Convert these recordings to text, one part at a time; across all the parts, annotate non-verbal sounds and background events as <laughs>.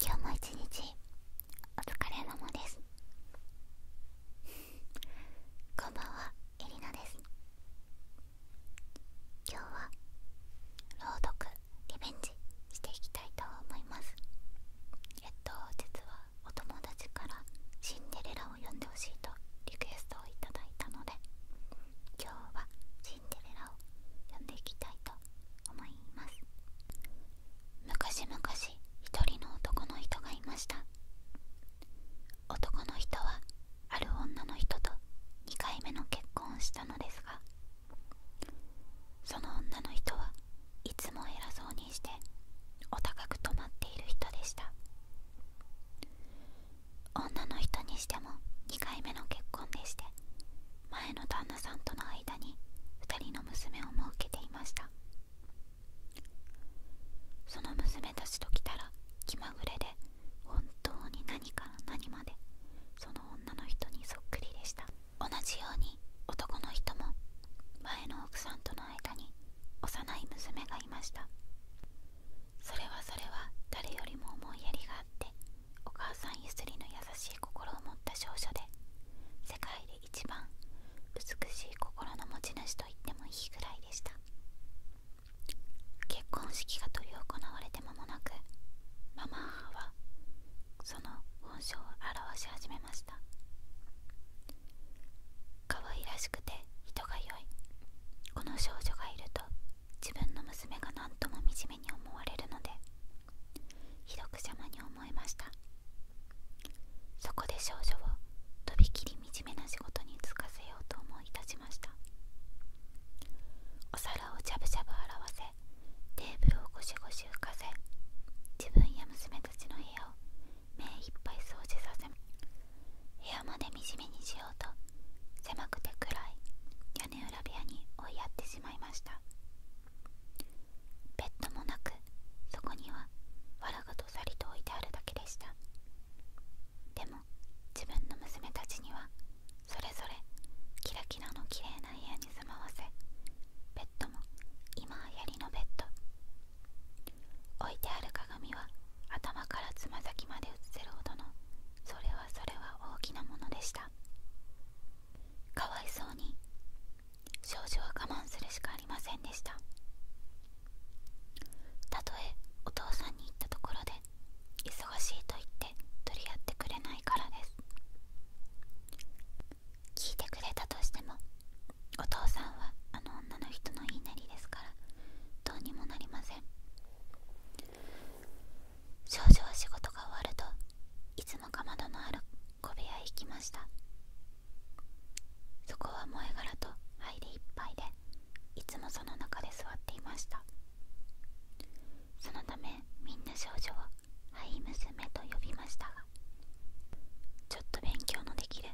今日も一日お疲れ様です。こんばんは、エリナです。今日は朗読リベンジしていきたいと思います。えっと、実はお友達からシンデレラを呼んでほしいとリクエストを頂いたので、今日はシンデレラを呼んでいきたいと思います。昔々一人の男の人がいました男の人はある女の人と2回目の結婚をしたのですがその女の人はいつも偉そうにしてお高く止まっている人でした女の人にしても2回目の結婚でして前の旦那さんとの間に2人の娘を設けていましたその娘たちと来たら気まぐれで本当に何から何までその女の人にそっくりでした同じように男の人も前の奥さんとの間に幼い娘がいましたそれはそれは誰よりも思いやりがあってお母さんゆすりの優しい心を持った少女で世界で一番美しい心の持ち主と言ってもいいぐらいでした結婚式が執り行われて間もなくママ母はその本性を表し始めました可愛らしくて人が良いこの少女がいると自分の娘が何とも惨めに思われるのでひどく邪魔に思えましたそこで少女をとびきり惨めな仕事に就かせようと思い立ちましたお皿をジャブジャブ洗わせテーブルをゴシゴシ浮かせ自分や娘たちの部屋を目いっぱい掃除させ部屋まで惨めにしようと狭くて暗い屋根裏部屋に追いやってしまいましたベッドもなくそこにはわらがどさりと置いてあるだけでしたでも自分の娘たちにはそれぞれキラキラの綺麗な部屋に住まわせベッドも今はやりのベッド置いてある鏡は頭からつま先まで映せるほどのそれはそれは大きなものでしたかわいそうに少女は我慢するしかありませんでしたたとえお父さんに言ったところで忙しいと言って取り合ってくれないからです聞いてくれたとしてもお父さんはあの女の人の言いなりですからどうにもなりません少女は仕事が終わるといつもかまどのある小部屋へ行きましたそこは萌え殻と灰でいっぱいでいつもその中で座っていましたそのためみんな少女を灰娘と呼びましたがちょっと勉強のできる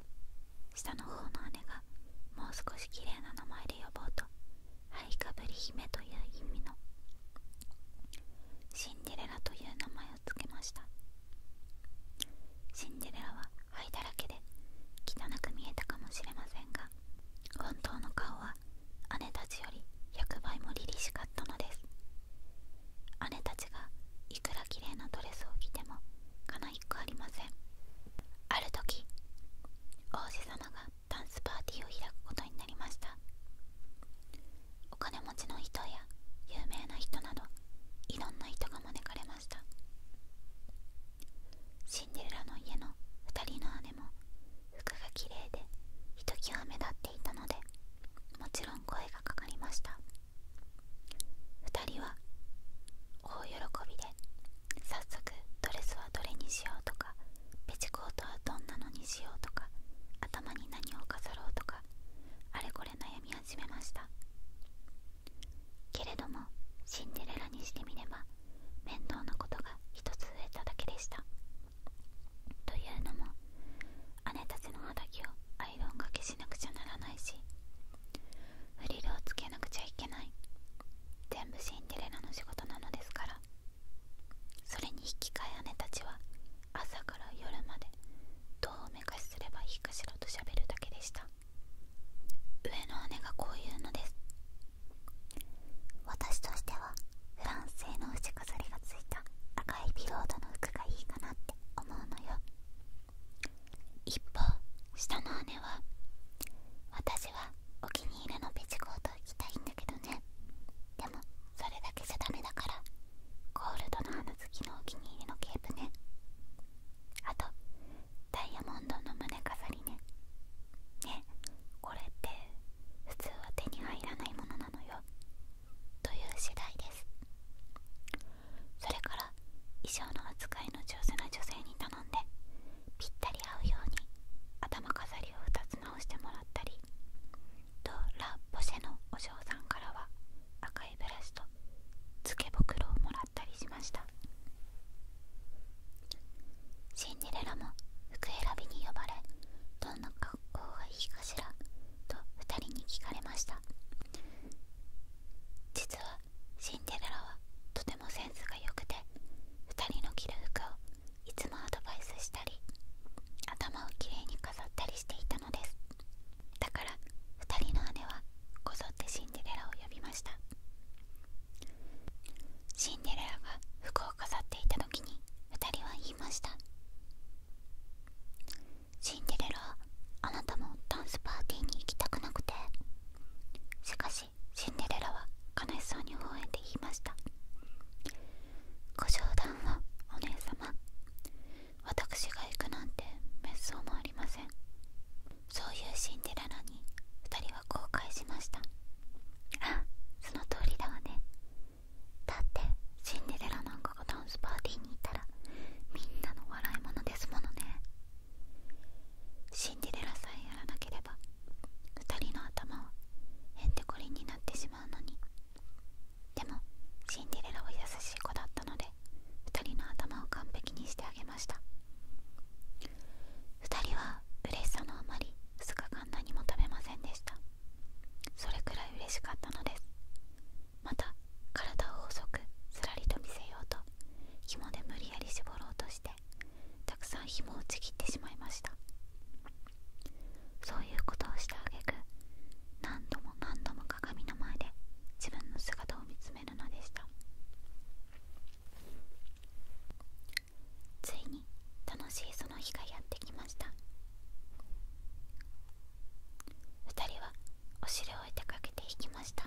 下の方の姉がもう少し綺麗な名前で呼ぼうと灰かぶり姫という意味のシンデレラという名前ををけましたシンデレラは灰だらけで汚く見えたかもしれませんが本当の顔は姉たちより100倍も凛々しかったのです姉たちがいくら綺麗なドレスを着てもかないっありませんある時王子様がダンスパーティーを開くことになりましたお金持ちの人や有名な人などいろんな人が招かれましたシンデレラの家の2人の姉も服がきれいでひときわ目立っていたのでもちろん声がかかりました2人は大喜びで早速ドレスはどれにしようとかペチコートはどんなのにしようとか頭に何を飾ろうとかあれこれ悩み始めましたけれどもシンデレラにしてみれば面倒なことが一つ増えただけでしたというのも姉たちの肌着をアイロンがけしなくちゃならないしフリルをつけなくちゃいけない全部シンデレラの仕事なのですからそれに引き換え姉たちは朝から夜までどうおめかしすればいいかしらとしゃべるだけでした上の姉がこういうのです私としてはフランス製の牛飾りがついた赤いビロードの服がいいかなって思うのよ一方下の姉は私はお気に入りのベジコート行きたいんだけどねでもそれだけじゃダメだからゴールドの花好きのお気に入りのケープねあとダイヤモンドの胸飾りねねこれって普通は手に入らないものなのよという次第ですそれから衣装の扱いの上手な女性に頼んでぴったり合うように頭飾りを2つ直してもらったりとラ・ポシのお嬢さんからは赤いブラシとつけ袋をもらったりしましたシンデレラも服選びに呼ばれどんな格好がいいかしらと2人に聞かれました実はシンデレラはとてもセンスが良くて2人の着る服をいつもアドバイスしたり頭をきれいに飾ったりしていたですだから2人の姉はこぞってシンデレラを呼びましたシンデレラが服を飾っていた時に2人は言いましたシンデレラあなたもダンスパーティーに行きたくなくてしかしシンデレラは悲しそうに微笑んで言いましたご冗談はお姉様私が行くなんて滅相もありませんそういうシンデレラに2人は後悔しましたあその通りだわねだってシンデレラなんかがダンスパーティーにいたらみんなの笑い物ですものねシンデレラさえやらなければ2人の頭はへんてこりになってしまうのにでもシンデレラは優しい子だったので2人の頭を完璧にしてあげました2人は嬉しさのあまり2日間何も食べませんでしたそれくらい嬉しかったのですまた体を細くすらりと見せようと紐で無理やり絞ろうとしてたくさん紐をちぎってしまいましたそういうことをしてあげく何度も何度も鏡の前で自分の姿を見つめるのでしたついに楽しいその日がやってきました2人はお尻を出かけていきました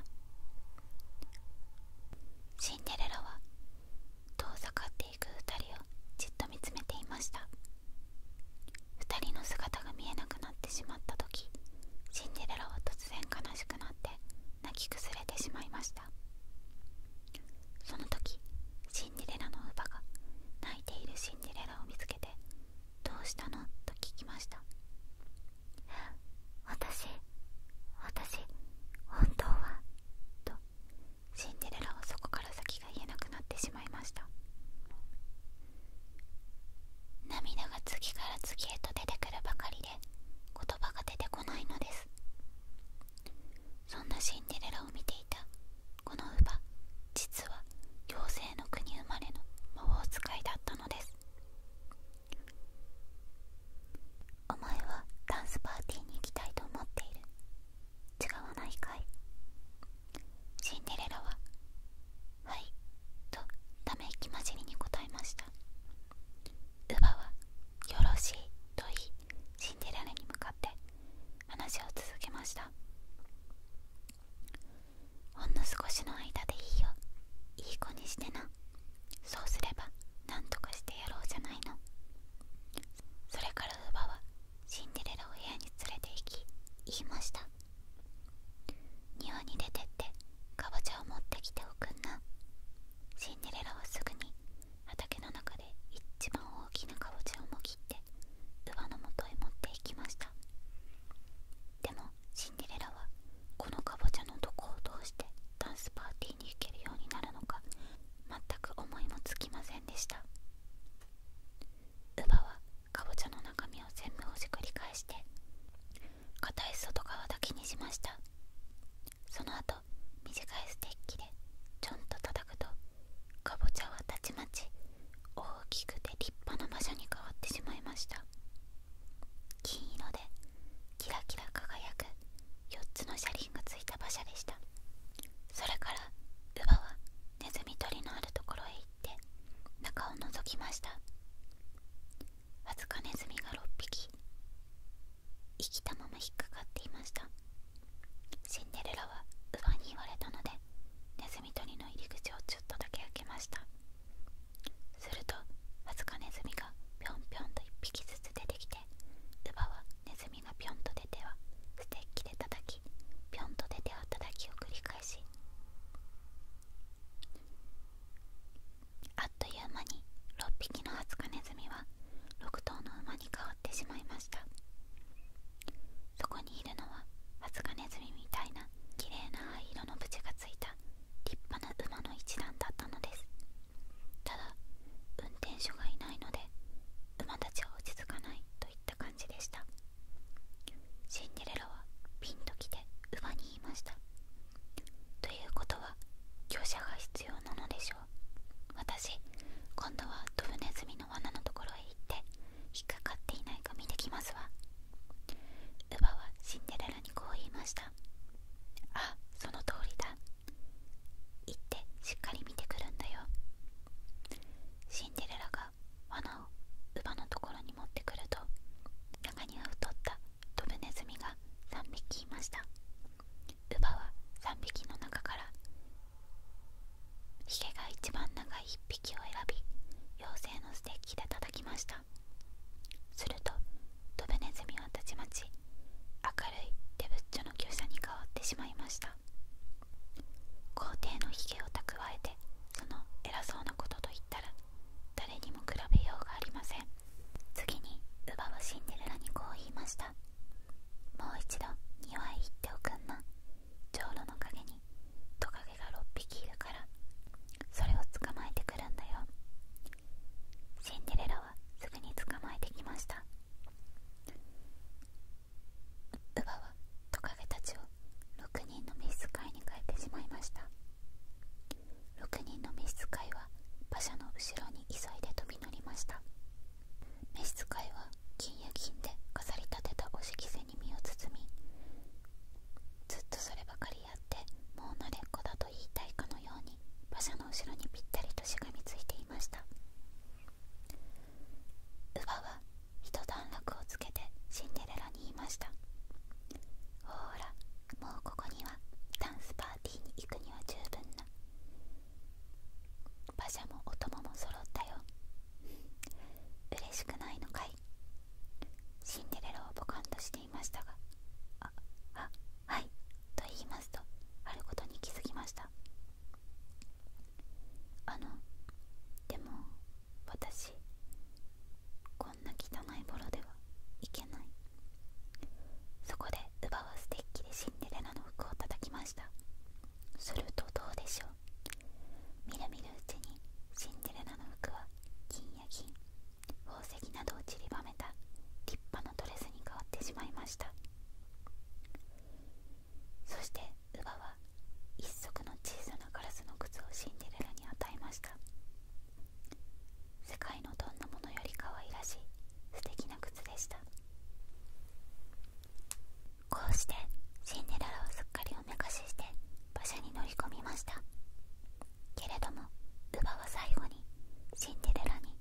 シンデレラは遠ざかっていく2人をじっと見つめていました2人の姿が見えなくなってしまった時シンデレラは突然悲しくなって泣き崩れてしまいましたその時シンデレラの乳母が泣いているシンデレラを見つけて「どうしたの?」と聞きました私私本当はとシンデレラはそこから先が言えなくなってしまいました涙が次から次へと出てくるばかりで言葉が出てこないのですそんなシンデレラを見ていたこの乳母実は妖精の国生まれの魔法使いだったのですお前はダンスパーティーに行きたいと思っている違わないかいシンデレラは「はい」とため息混じりに答えました乳母は「よろしい」と言いシンデレラに向かって話を続けましたほんの少しの間でいいよいい子にしてなそうすればなんとかしてやろうじゃないのそれから乳母はシンデレラを部屋に連れて行き言いました庭に出てってかぼちゃを持ってきておくんなシンデレラはすぐに畑の中で一番大きなかぼちゃをもぎって乳母のもとへ持って行きましたでもシンデレラはこのかぼちゃのどこをどうしてダンスパーティーに行けるようになるのか全く思いもつきませんでした乳母はかぼちゃの中身を全部ほじくり返して硬い外側だけにしましたその後短いステッキでちょんと叩くとかぼちゃはたちまち大きくて立派な馬車に変わってしまいました金色でキラキラ輝く4つの車輪がついた馬車でしたそれから乳母はネズミ捕りのあるところへ行っ中を覗きましたわずかネズミが6匹生きたまま引っかかっていましたシンデレラは乳に言われたのでネズミ捕りの入り口をちょっとだけ開けましたするとわずかネズミがぴょんぴょんと1匹ずつ出てきて乳母はネズミがぴょんと出てはステッキで叩きぴょんと出て働きを繰り返しあっという間に6匹のハツカネズミは6頭の馬に変わってしまいましたそこにいるのはハツカネズミみたいな綺麗な灰色のブチがついた立派な馬の一団だったのですただ運転手がいないので馬たちは落ち着かないと言っ感じでしたシンデレラはピンと来て馬に言いましたということは業者が必要なのでしょう私今度はドブネズミの罠のところへ行って引っかかっていないか見てきますわ乳母はシンデレラにこう言いましたあその通りだ行ってしっかり見てくるんだよシンデレラ罠を乳母のところに持ってくると中には太ったドブネズミが3匹いました乳母は3匹の中からひげが一番長い1匹を選び妖精のステッキで叩きましたするとドブネズミはたちまち明るいデブッチョの厩舎に変わってしまいました皇帝のひを蓄てその偉そうなことと言ったら誰にも比べようがありません次に乳母はシンデレラにこう言いましたもう一度庭へ行っておくんな長老の陰にトカゲが6匹いるからそれを捕まえてくるんだよシンデレラはすぐに捕まえてきました乳母はトカゲたちを6人の召使いに変えてしまいました6人の召使いは馬車の後ろに急いで飛び乗りました召使いは金や金で飾り立てたお色せに身を包みずっとそればかりやってもう慣れっ子だと言いたいかのように馬車の後ろにぴったりとしがみついていました乳は一段落をつけてシンデレラに言いましたほーらもうここにはダンスパーティーに行くには十分な馬車もお供も揃ったよ嬉しくないのかいシンデレラをポカンとしていましたがああはいと言いますとあることに気づきましたあのでも私こんな汚いボロではいけないそこで乳母はステッキでシンデレラの服を叩きましたするとどうでしょうみるみるうちにシンデレラの服は金や銀宝石などをちりばめた立派なドレスに変わってしまいましたそして乳母は一足の小さなガラスの靴をシンデレラに与えました世界のどんなものよりかわいらしい素敵な靴でしたこうしてシンデレラはすっかりおめかしして馬車に乗り込みましたけれども乳母は最後にシンデレラに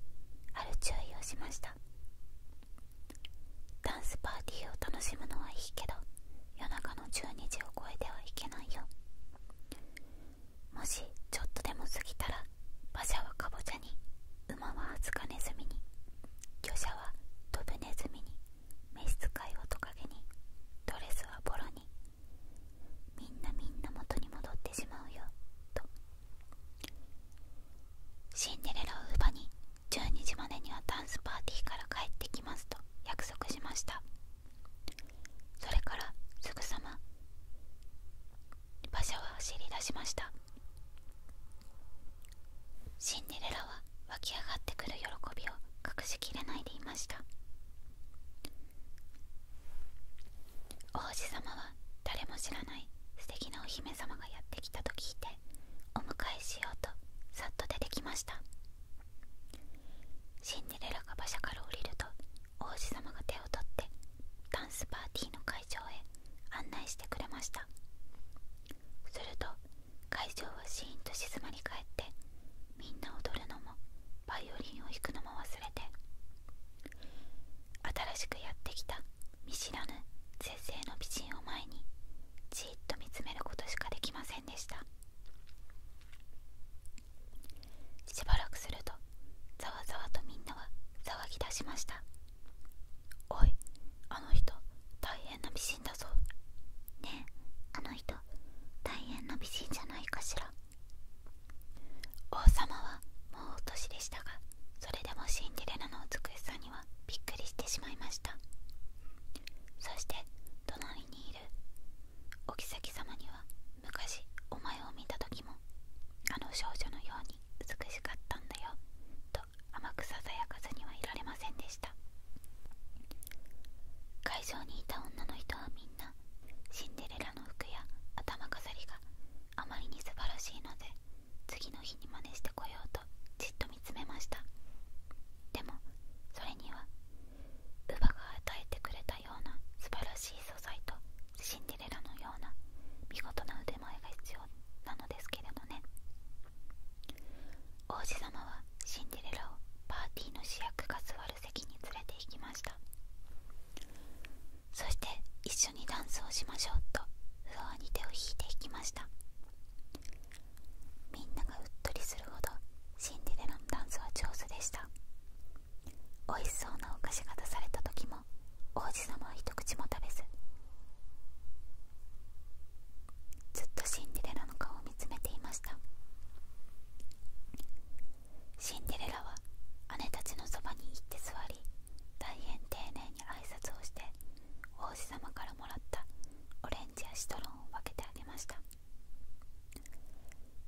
ある注意をしましたダンスパーティーを楽しむのはいいけど夜中の12時を超えてはいけないよもしちょっとでも過ぎたら馬車はカボチャに馬はアツカネズミに魚車はドブネズミに召使いはトカゲにドレスはボロにみんなみんな元に戻ってしまうよとシンデレラをーに12時までにはダンスパーティーから帰ってきますと約束しましたそれからすぐさま馬車は走り出しましたシンデレラは湧き上がってくる喜びを隠しきれないでいました王子様は誰も知らない素敵なお姫様がやってきたと聞いてお迎えしようとさっと出てきましたシンデレラが馬車から降りると王子様が手を取ってダンスパーティーの会場へ案内してくれましたすると会場はシーンと静まり返ってみんな踊るのもバイオリンを弾くのも忘れて新しくやってきた見知らぬ絶世の美人を前にじっと見つめることしかできませんでしたしばらくするとざわざわとみんなは騒ぎ出しましたおいあの人大変な美人だぞねえあの人大変な美人じゃないかしら王様はもうお年でしたがそれでもシンデレラの美しさにはびっくりしてしまいましたそして隣にいるお妃様には昔お前を見た時もあの少女のように美しかったんだよと甘くささやかずにはいられませんでした会場にいた女の人はみんなシンデレラの服や頭飾りがあまりに素晴らしいので次の日に真似してこようとじっと見つめましたでもそれには乳母が与えてくれたような素晴らしい素材とシンデレラのような見事な腕前が必要なのですけれどね王子様はシンデレラをパーティーの主役が座る席に連れて行きましたそして一緒にダンスをしましょうとフロアに手を引いていきましたみんながうっとりするほどシンデレラのダンスは上手でしたおいしそうなお菓子が出された時も王子様は一口も食べずずっとシンデレラの顔を見つめていましたシンデレラは姉たちのそばに行って座り大変丁寧に挨拶をして王子様からもらったオレンジやシトロンを分けてあげました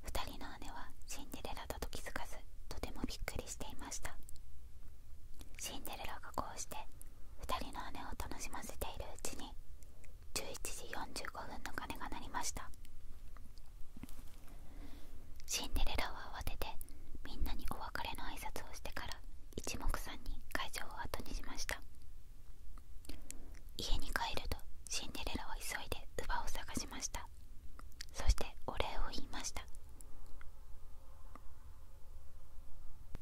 2人の姉はシンデレラだと気づかずとてもびっくりしていましたシンデレラがこうして2人の姉を楽しませているうちに11時45分の鐘が鳴りましたシンデレラは慌ててみんなにお別れの挨拶をしてから一目散に会場を後にしました家に帰るとシンデレラは急いで乳母を探しましたそしてお礼を言いました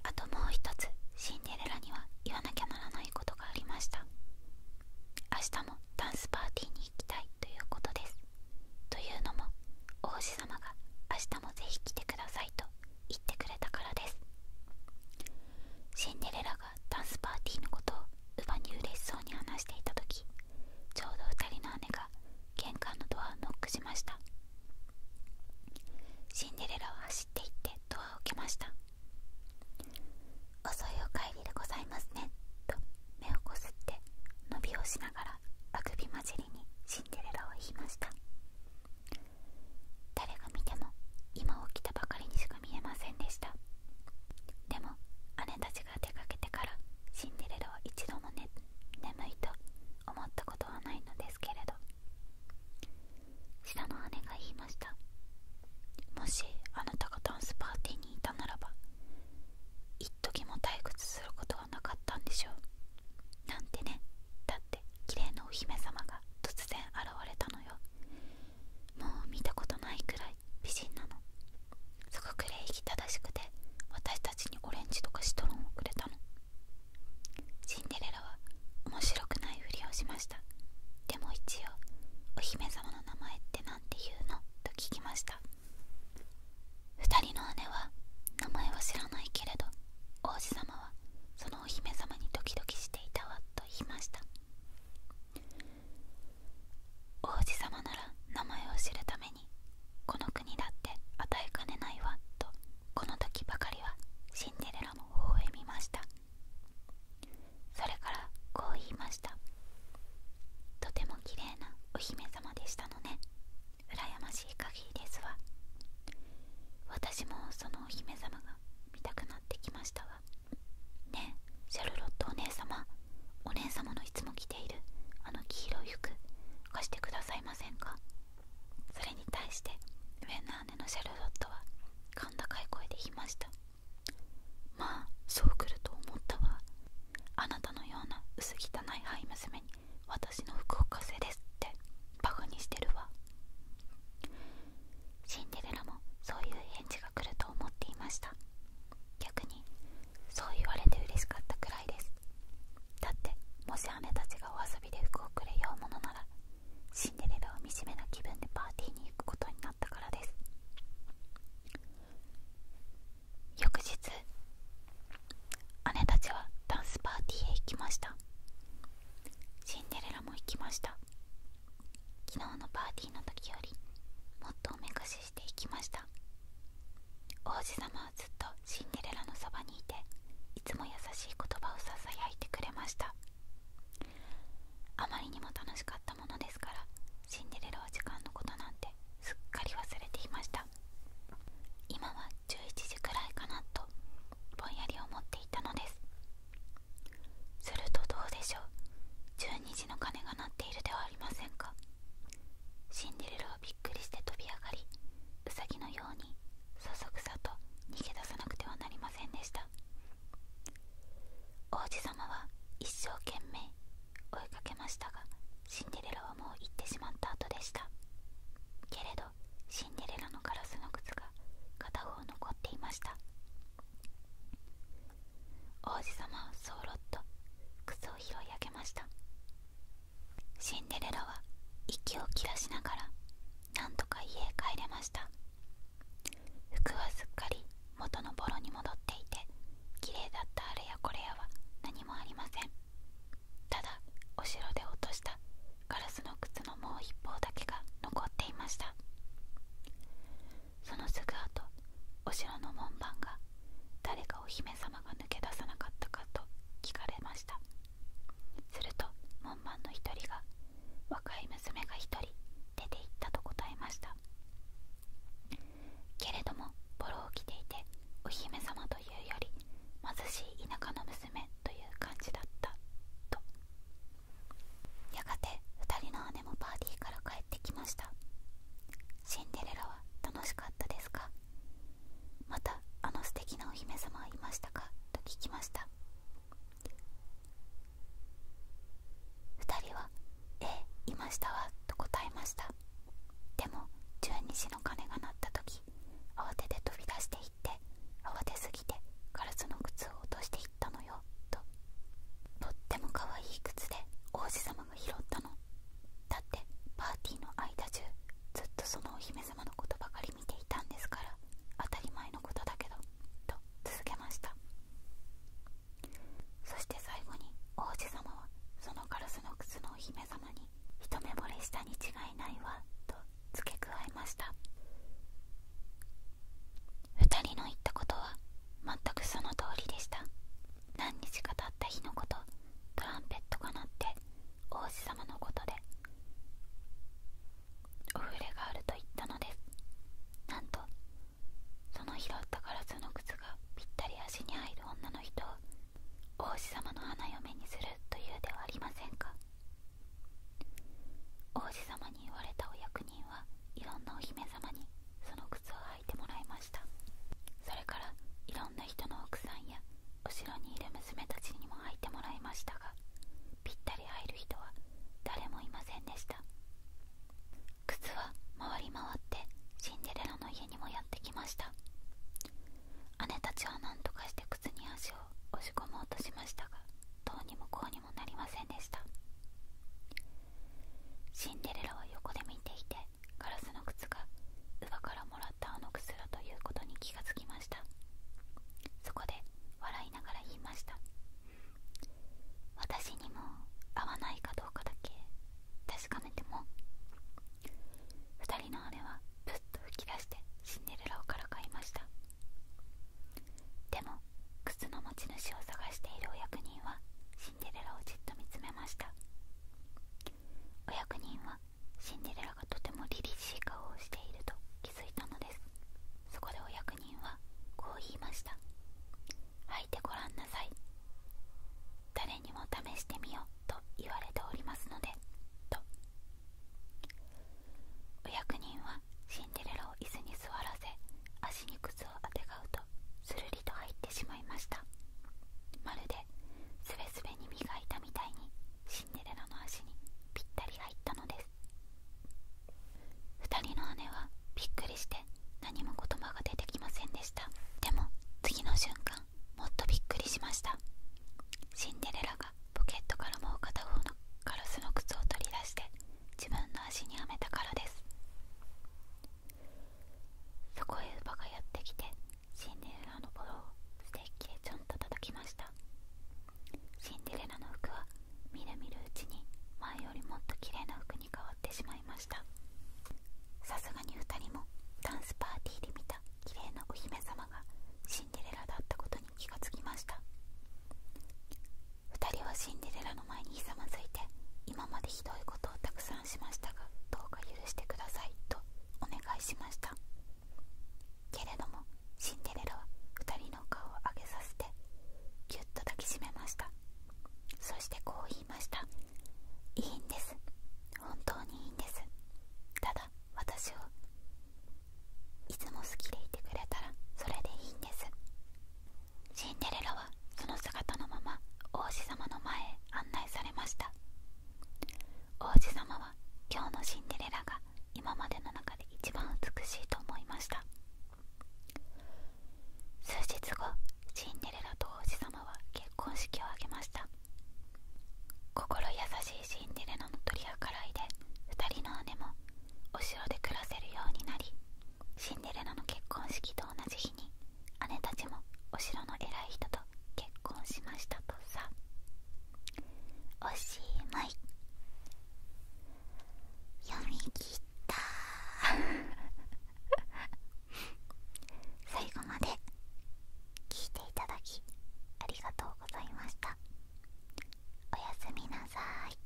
あともう一つシンデレラには言わなきゃならないことがありました明日もダンスパーティーに行きたいということですというのも王子まが明日もぜひ来てくださいと言ってくれたからですシンデレラダンスパーティーのことを乳に嬉しそうに話していた時ちょうど2人の姉が玄関のドアをノックしましたシンデレラは走っていってドアを開けました「遅いお帰りでございますね」と目をこすって伸びをしながらあくび混じりにシンデレラを言いました誰が見ても今起きたばかり見えませんでしたでも姉たちが出かけてからシンデレラは一度も、ね、眠いと思ったことはないのですけれど下の姉が言いましたもしあなたがダンスパーティーにいたならば一時も退屈することはなかったんでしょうなんてねだって綺麗なお姫様が突然現れたのよもう見たことないくらい美人なのすごく礼儀正しくて私たちにオレンジとかシトロンをくれたのシンデレラは面白くないふりをしましたでも一応お姫様の名前って何て言うのと聞きました2人の姉は名前は知らないけれど王子様はそのお姫様にドキドキしていたわと言いました王子様なら名前を知るためにこの国だって与えかねないわとこの時ばかりはシンデレラも微笑みましたそれからこう言いましたとても綺麗なお姫様でしたのね羨ましい限りですわ私もそのお姫様が見たくなってきましたわねえシャルロットお姉様お姉様のいつも着ているあの黄色い服貸してくださいませんかそれに対して上の姉のシャルロットは甲高い声で言いましたまあそう来ると思ったわあなたのような薄汚い灰娘に私の服を貸せですってバカにしてるわシンデレラもそういう返事が来ると思っていました逆にそう言われて嬉しかったくらいですだってもし姉たちがお遊びで服をくれようものならシンデレラは惨めな気分でパーティーに行くことになったからです翌日姉たちはダンスパーティーへ行きましたシンデレラも行きました昨日のパーティーの時よりもっとおめかししていきました王子様はずっとシンデレラのそばにいていつも優しい言葉をささやいてくれましたあまりにも楽しかったものですからシンデレラは時間のことなんてすっかり忘れていました今は11時くらいかなとぼんやり思っていたのですするとどうでしょう12時の鐘が鳴っているではありませんかシンデレラはびっくりして飛び上がりウサギのようにそそくさと逃げ出さなくてはなりませんでした王子さまは一生懸命追いかけましたがシンデレラはもう行ってしまった後でしたけれどシンデレラのガラスの靴が片方残っていました王子様はそろっと靴を拾い上げましたシンデレラは息を切らしながらなんとか家へ帰れました服はすっかり元のボロに戻っていて綺麗だったあれやこれやは何もありませんただお城で落としたガラスの靴のもう一方だけが残っていましたそのすぐあとお城の門番が誰かお姫様が抜け出さなかったかと聞かれましたすると門番の一人が若い娘が一人出て行ったと答えましたけれどもボロを着ていてお姫様というより貧しい田舎の娘という感じだったとやがて2人の姉もパーティーから帰ってきましたシンデレラは楽しかったですかまたあの素敵なお姫様はいましたかと聞きました2人は「ええいましたわ」と答えましたでも12時の鐘が鳴った時慌てて飛び出していって慌てすぎてガラスの靴を落としていたのよととっても可愛い靴で王子様が拾ったのだってパーティーの間中ずっとそのお姫様のことばかり見ていたんですから当たり前のことだけどと続けましたそして最後に王子様はそのガラスの靴のお姫様に一目ぼれしたに違いないわと付け加えました2人の言ったことは全くその通りでした何日か経った日のことトランペットが鳴って王子様のことでお触れがあると言ったのですなんとその拾ったガラスの靴がぴったり足に入る女の人を王子様の花嫁にするというではありませんか王子様に言われたお役人はいろんなお姫様にその靴を履いてもらいましたそれからいろんな人の奥さんや後ろにいる娘たちにも履いてもらいましたがぴったり入る人は誰もいませんでした靴は回り回ってシンデレラの家にもやってきました姉たちは何とかして靴に足を押し込もうとしましたがとうにもこうにもなりませんでしたシンデレラは横で見ていてガラスの靴が乳からもらったあの靴だということに気がつきましたそこで笑いながら言いました私にも合わないかどうかだけ確かめても2人の姉はプッと吹き出してシンデレラをからかいましたでも靴の持ち主を探しているお役人はシンデレラをじっと見つめましたお役人はシンデレラがとても凛々しい顔をしていると気づいたのですそこでお役人はこう言いました履いてごらんなさい誰にも試してみようと言われておりますのでとお役人はシンデレラを椅子に座らせ足に靴をあてがうとするりと入ってしまいましたまるでスベスベに磨いたみたいにシンデレラの足にぴったり入ったのです2人の姉はびっくりして何も言葉が出てきませんでしたでも次の瞬間もっとびっくりしましたシンデレラがポケットからもう片方のカラスの靴を取り出して自分の足にはめたからですそこへ乳母がやってきてシンデレラのボロをステッキでちょんと叩きましたシンデレラの服はみるみるうちに前よりもっと綺麗な服に変わってしまいましたさすがに2人もダンスパーティーで見た綺麗なお姫様がシンデレラだったことに気がつきました2人はシンデレラの前にひざまずいて今までひどいことをたくさんしましたがどうか許してくださいとお願いしましたけれどもシンデレラは2人の顔を上げさせてぎゅっと抱きしめましたそしてこう言いましたいいんです本当にいいんですただ私をいつも好きでいてくれたらそれでいいんですシンデレラはその姿のまま王子様の前へ案内されました王子様は今日のシンデレラが今までの中で一番美しいと思いました数日後シンデレラと王子様は結婚式を挙げました心優しいシンデレラの取り計らいで2人の姉もお城で暮らせるようになりシンデレラの結婚式と同じ日に姉たちもお城の偉い人と結婚しましたとさおしまい読み切った <laughs> 最後まで聞いていただきありがとうございましたおやすみなさい